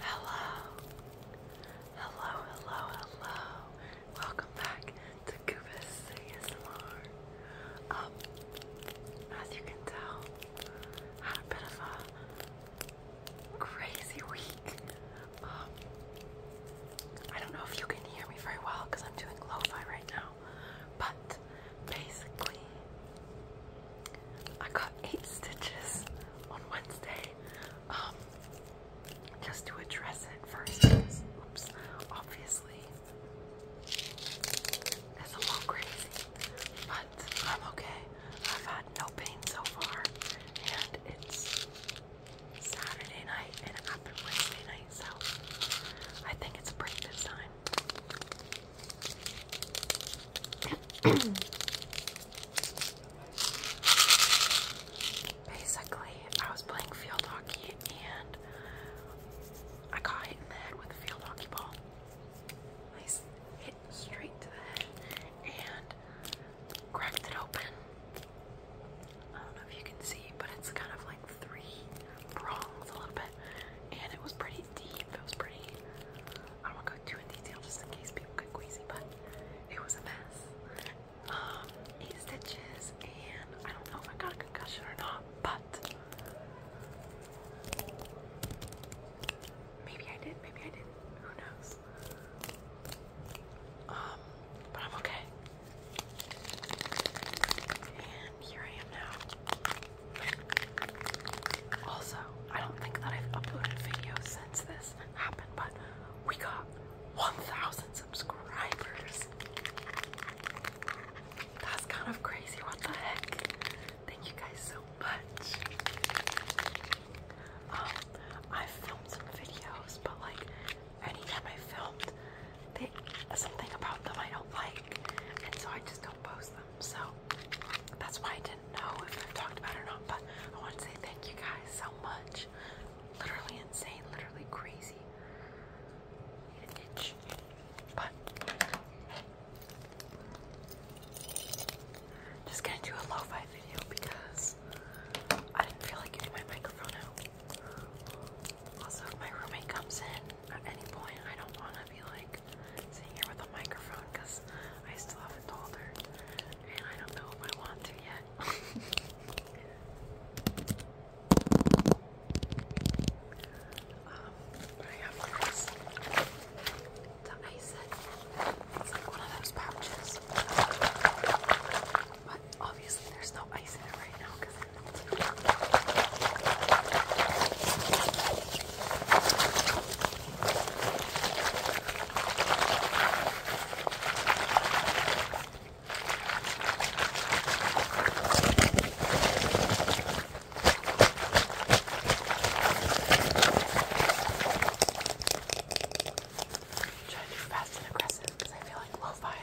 Hello. Hello, hello, hello. Welcome back to Cuba's ASMR. Um, as you can tell, had a bit of a crazy week. Um, I don't know if you can hear me very well because I'm doing lo-fi right now. But basically, I got eight stitches on Wednesday um, just to address it first. Oops, obviously, it's a little crazy, but I'm okay. I've had no pain so far, and it's Saturday night and after Wednesday night, so I think it's a break this time. Basically, I was playing field hockey and I caught it in the head with a field hockey ball. I hit straight to the head and cracked it open. I don't know if you can see, but it's kind of like three prongs a little bit, and it was pretty it was pretty. I don't go too in detail just in case people get queasy, but it was a mess. Um, stitches, and I don't know if I got a concussion or not, but maybe I did, maybe I did Who knows? Um, but I'm okay here I am now. Also, I don't think that I've uploaded videos since this happened, but we got 1,000 subscribers. That's kind of crazy. What the heck? Thank you guys so much. Um, I've filmed some videos, but like anytime I filmed, they something about them I don't like, and so I just don't post them. So that's why I didn't know if I've talked about it or not. But I want to say thank you guys so much. Literally insane, literally crazy. itch, but just gonna do a lo-fi video because I didn't feel like getting my microphone out. Also, if my roommate comes in at any point, I don't want to be like sitting here with a microphone because I still have a toddler, and I don't know if I want to yet. um, I have this to ice It's like one of those pouches obviously, there's no ice in it right now because it melted. i trying to do fast and aggressive because I feel like lo-fi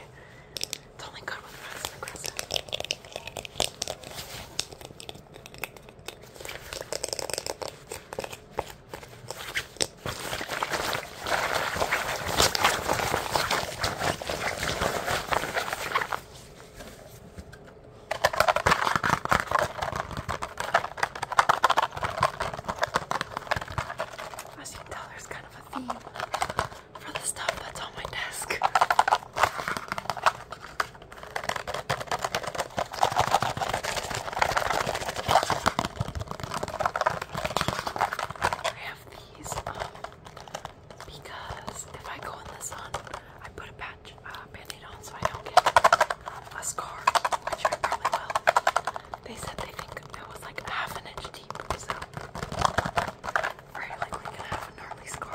it's only good with rocks and the crust. you can tell, there's I have a theme for the stuff that's on my desk. I have these um, because if I go in the sun, I put a patch uh, band on so I don't get a scar, which I probably will. They said they think it was like half an inch deep, so very likely gonna have a gnarly scar.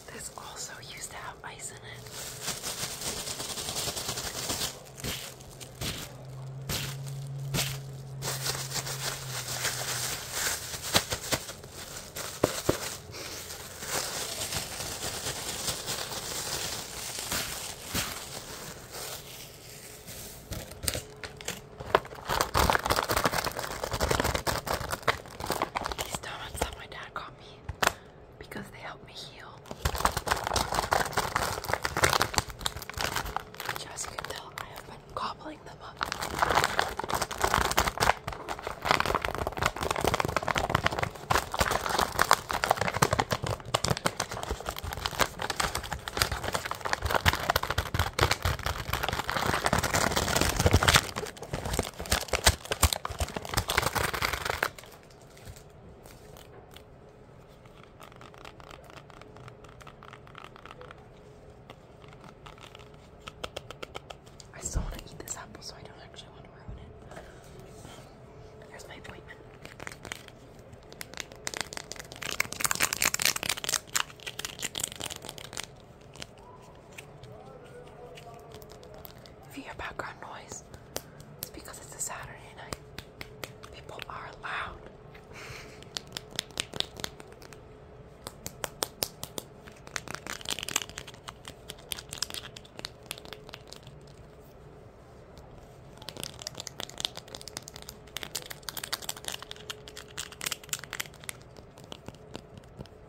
This also used to have ice in it. These donuts that my dad got me because they help me heal. Which, as I have been them up. I still want to eat this apple, so I don't actually want to ruin it. There's my appointment. If you hear background noise, it's because it's a Saturday night. People are loud.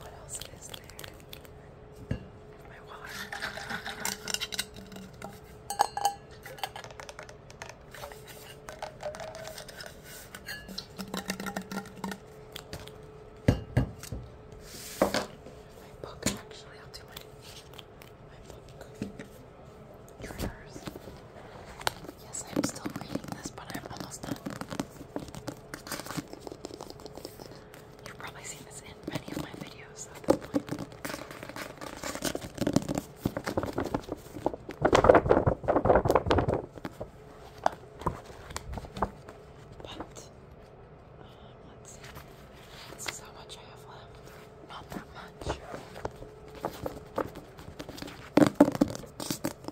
What else is there? My water. My book, actually, I'll do my, my book. Triggers. Yes, I'm still reading this, but I'm almost done. You've probably seen this in many of my videos at this point. But, um, let's see. This is how much I have left. Not that much. I'm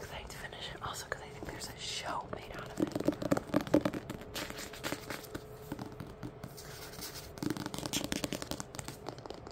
excited to finish it also because I think there's a show made out of it.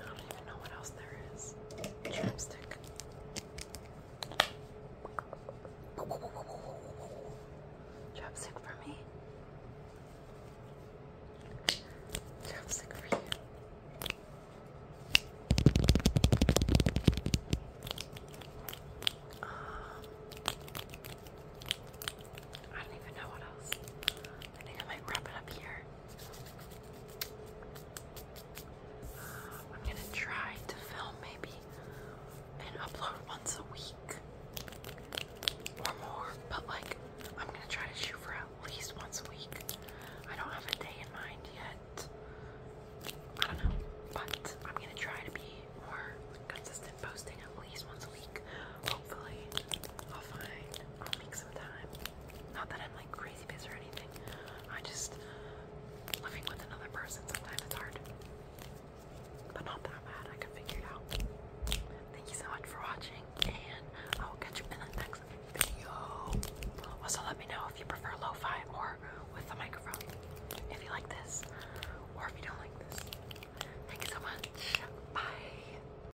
I don't even know what else there is. Chapstick. Chapstick for me. Chapstick for you. Um, I don't even know what else. I think I might wrap it up here. I'm gonna try to film maybe and upload once a week or more, but like I'm gonna try to shoot for at least once a week. I don't have a day in mind yet. I don't know, but I'm gonna try to be more consistent posting at least once a week. Hopefully, I'll find, I'll make some time. Not that I'm like crazy busy or anything. I just living with another person sometimes it's hard. But not that bad, I can figure it out. Thank you so much for watching and I will catch you in the next video. Also let me know if you prefer lo-fi or with the microphone. If you like this or if you don't like this. Thank you so much. Bye.